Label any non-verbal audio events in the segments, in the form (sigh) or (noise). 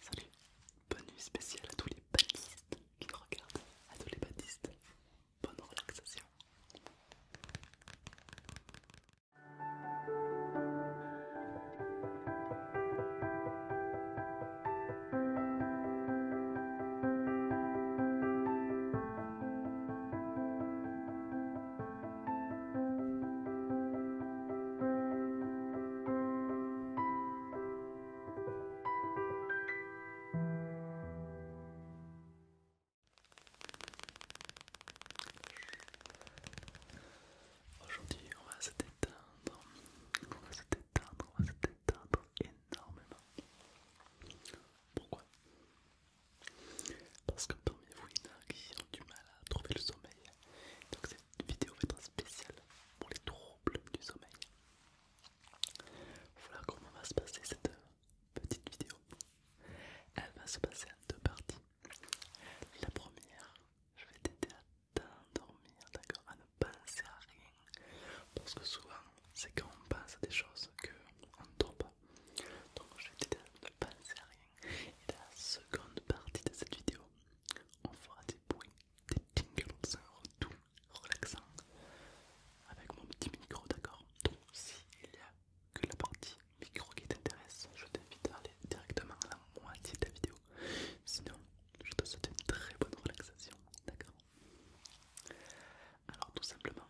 Salut, bonne nuit spéciale à tous les baptistes qui regardent, à tous les baptistes, bonne relaxation. Aujourd'hui, on va se détendre, on va se détendre, on va se détendre énormément. Pourquoi Parce que parmi vous, il y en a qui ont du mal à trouver le sommeil, vidéo va être spéciale pour les troubles du sommeil. Voilà comment va se passer cette euh, petite vidéo. Elle va se passer en deux parties. La première, je vais t'aider à t'endormir, d'accord, à ne penser à rien. Parce que souvent, c'est quand on pense à des choses qu'on ne dort pas. Donc je vais t'aider à ne penser à rien. Et la seconde partie de cette vidéo, on fera des bruits, des tingles, tout relaxant avec mon petit micro, d'accord Donc, s'il y a que la partie micro qui t'intéresse, je t'invite à aller directement à la moitié de la vidéo. Sinon, je te souhaite une très bonne relaxation, d'accord Alors, tout simplement,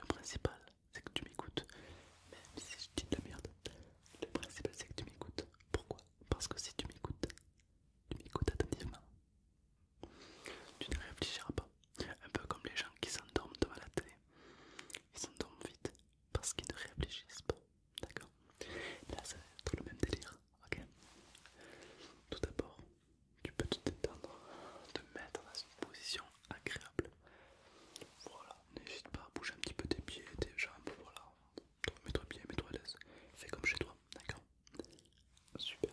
le principal, c'est que tu m'écoutes, même si je dis de la merde. Le principe c'est que tu m'écoutes. Pourquoi Parce que si tu m'écoutes, tu m'écoutes attentivement. Tu ne réfléchiras pas. Un peu comme les gens qui s'endorment devant la télé. Ils s'endorment vite parce qu'ils ne réfléchissent pas. D'accord Là ça va être le même délire. Ok Tout d'abord, tu peux te détendre, te mettre dans une position agréable. Voilà n'hésite pas à bouger un petit peu tes pieds, tes jambes, voilà. Mets-toi bien, mets-toi à l'aise. Fais comme chez toi, d'accord Super.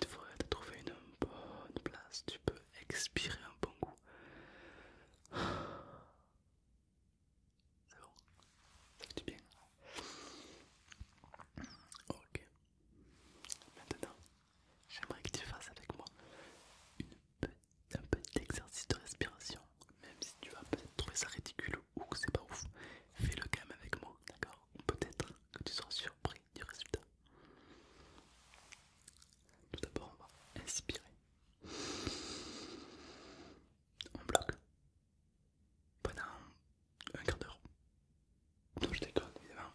Une fois que trouver trouvé une bonne place, tu peux expirer un bon coup (sighs) C'est bon Ça fait bien. Ok. Maintenant, j'aimerais que tu fasses avec moi une petite un petit exercice de respiration, même si tu vas peut-être trouver ça ridicule ou que c'est pas ouf, fais-le quand avec moi, d'accord Peut-être que tu seras surpris du résultat. Tout d'abord, on va inspirer. On bloque pendant un quart d'heure. Non, je déconne, évidemment.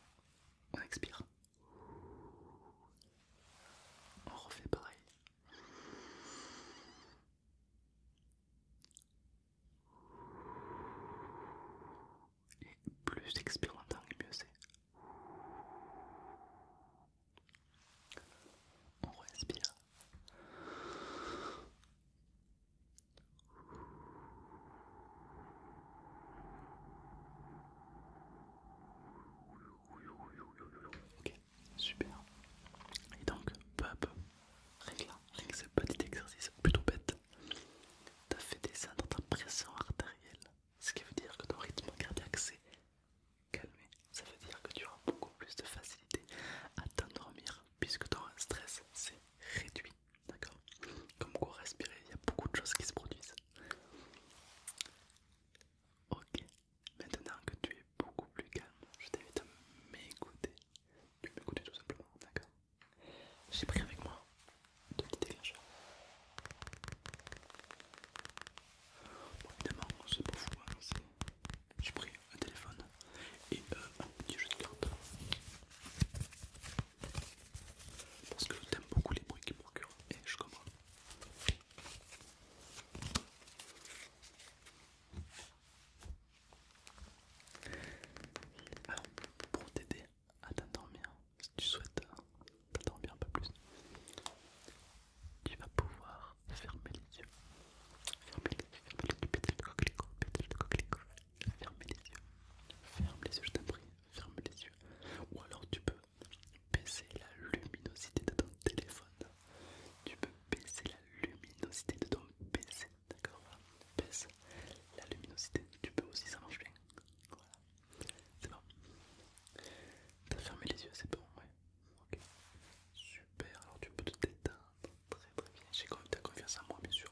On expire. On refait pareil. Et plus expire mieux c'est. On respire. Ok, super. Et donc, peu à peu, rien que ce petit exercice plutôt bête, t'as fait descendre ta pression artérielle, ce qui veut dire que ton rythme cardiaque s'est calmé. Ça veut dire que tu auras beaucoup plus de facilité à t'endormir puisque ton stress s'est réduit. D'accord Comme quoi, respirer, il y a beaucoup de choses qui se produisent. Ok, maintenant que tu es beaucoup plus calme, je t'invite à m'écouter. Tu m'écoutes tout simplement, d'accord J'ai pris avec moi deux petits dégâts Bon, évidemment, c'est pour fou, j'ai pris un téléphone et euh, un petit jeu de cartes. Parce que j'aime beaucoup les bruits qui procurent et je comprends pour t'aider à t'endormir, si tu souhaites t'endormir un peu plus, tu vas pouvoir fermer les yeux. Fermer les yeux, fermer les yeux, pétale Ferme les yeux, ferme les yeux, je t'en prie, ferme les yeux. Ou alors tu peux baisser la luminosité de ton téléphone. Tu peux baisser la luminosité de ton PC, d'accord Baisse la luminosité. Tu peux aussi, ça marche bien. Voilà, c'est bon. T'as fermé les yeux, c'est bon, ouais. Ok, super. Alors tu peux te détendre très très bien. J'ai quand même confiance en moi, bien sûr.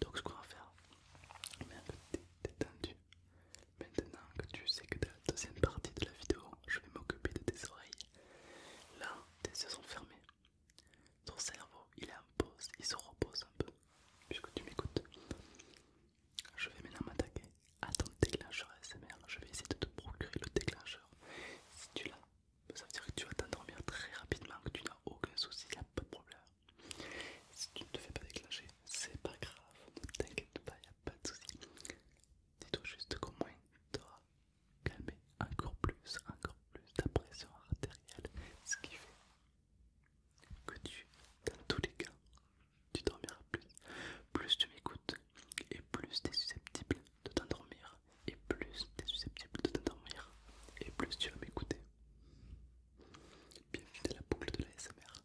Donc, ce qu'on va faire, un un peu détendu, Maintenant que tu sais que dans la deuxième partie de la vidéo, je vais m'occuper de tes oreilles. Là, tes yeux sont fermés. Ton cerveau, il est en pause, il se repose un peu, puisque tu m'écoutes. Je vais maintenant m'attaquer à ton déclencheur ASMR. Je vais essayer de te procurer le déclencheur. Si tu l'as, ça veut dire que tu vas t'endormir très rapidement, que tu n'as aucun souci, il n'y a pas de problème. Si tu ne te fais pas déclencher, c'est pas grave, ne t'inquiète pas, pas de soucis. Dis-toi juste qu'au moins t'auras calmé encore plus, encore plus ta pression artérielle, ce qui fait que tu, dans tous les cas, tu dormiras plus. Plus tu m'écoutes et plus tu es susceptible de t'endormir, et plus tu es susceptible de t'endormir, et plus tu vas m'écouter. Bienvenue dans la boucle de la SMR.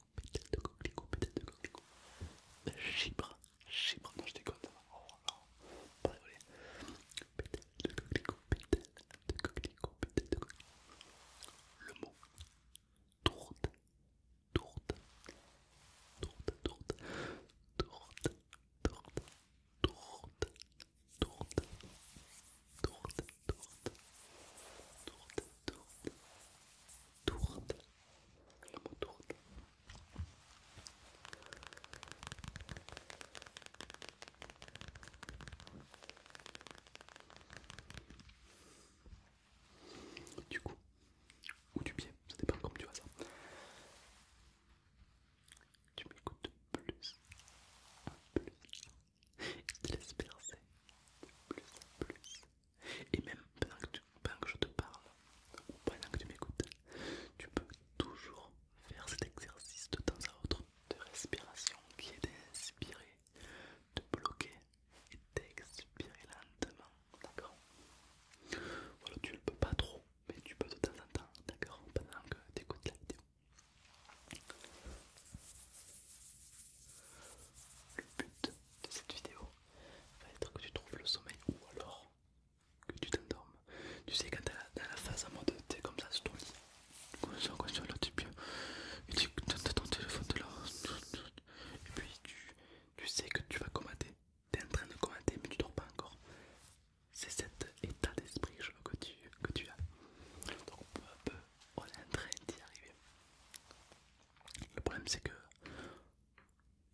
coquelicot, de coquelicot, pétale de coquelicot. Chibre, chibre, non je déconne, Oh non, pas désolé. de coquelicot, pétale de coquelicot, pétale de coquelicot. Le mot tourte, tourte, tourte, tourte, tourte, tourte, tourte, tourte, tourte, tourte, tourte tourte, la mot Du coup, ou du pied, ça dépend comment tu vois ça. Tu m'écoutes plus, plus, il laisse percer, plus, plus, et même pendant que, je te parle, pendant que tu m'écoutes, tu peux toujours faire cet exercice de temps à autre de respiration qui est d'inspirer, de bloquer et d'expirer lentement, d'accord Voilà, tu ne peux pas trop, mais tu peux de temps en temps, d'accord Pendant que tu écoutes la vidéo. Le but de cette vidéo va être que tu trouves le sommeil ou alors que tu t'endormes. Tu sais, quand t'es dans la phase en mode t'es comme ça, je ton lit, conscient, tu bien, et tu as ton téléphone là, et puis tu, sais que tu vas tu t'es en train de commenter mais tu dors pas encore. C'est cet état d'esprit que tu, que tu as. Donc peu à peu, on est en train d'y arriver. Le problème c'est que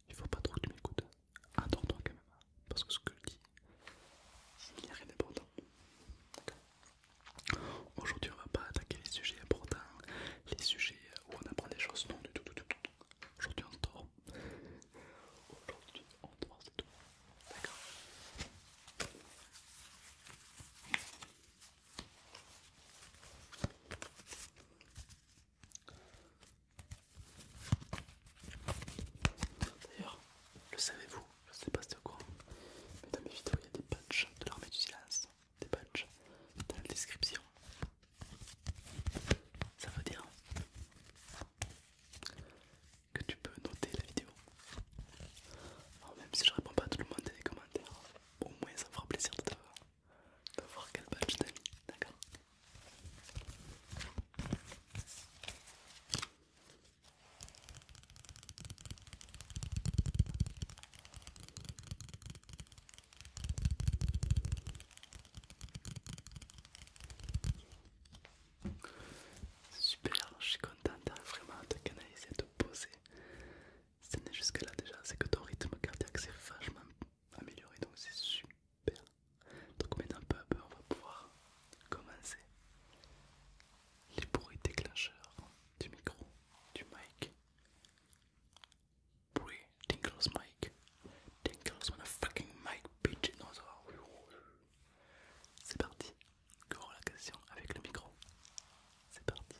il faut pas trop que tu m'écoutes. Attends-toi quand même, parce que ce que je dis, il n'y a rien d'important. Aujourd'hui, on va pas attaquer les sujets importants, les sujets où on apprend des choses, non, du tout, du tout. Aujourd'hui, on dort. Aujourd'hui, on dort, c'est tout. D'accord D'ailleurs, le savez-vous, je sais pas c'est quoi, mais dans mes vidéos il y a des patchs de l'armée du silence, des patchs dans la description. Ça veut dire que tu peux noter la vidéo. même si je réponds pas à tout le monde des les commentaires, au moins ça fera plaisir de voir de voir quel badge t'as mis, d'accord Super, je suis contente vraiment te canaliser, de poser si jusque là déjà, c'est que ton rythme cardiaque s'est vachement amélioré, donc c'est super. Donc maintenant peu à peu on va pouvoir commencer les bruits déclencheurs du micro, du mic. Bruit, Tinkle's mic. on a fucking mic, bitch. C'est parti. la relaxation avec le micro. C'est parti.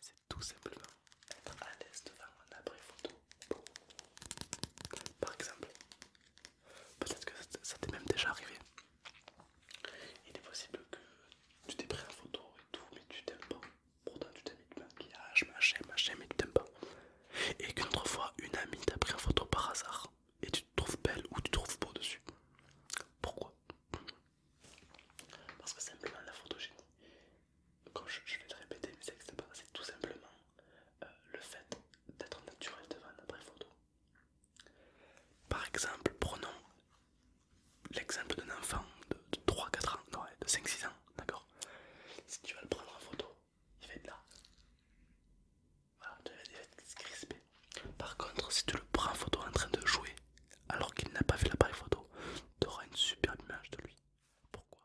C'est tout simplement être à l'aise devant un appareil photo. Par exemple, Peut-être que ça, t'est même déjà arrivé. Il est possible que tu t'es pris en photo et tout, mais tu t'aimes pas. Pourtant, tu t'aimes mis de maquillage, ah, machin, machin, mais tu t'aimes pas. Et qu'une autre fois, une amie t'a pris en photo par hasard et tu te trouves belle ou tu te trouves beau dessus. Pourquoi Parce que simplement la photogénie, comme je, vais te répéter, mais c'est tout simplement euh, le fait d'être naturel devant un photo. Par exemple, prenons l'exemple d'un enfant de, 3-4 ans, non, de 5-6 ans, d'accord Si tu vas le prendre en photo, il va être là. Voilà, il va être crispé. Par contre, si tu le prends en photo en train de jouer, alors qu'il n'a pas fait l'appareil photo, tu auras une superbe image de lui. Pourquoi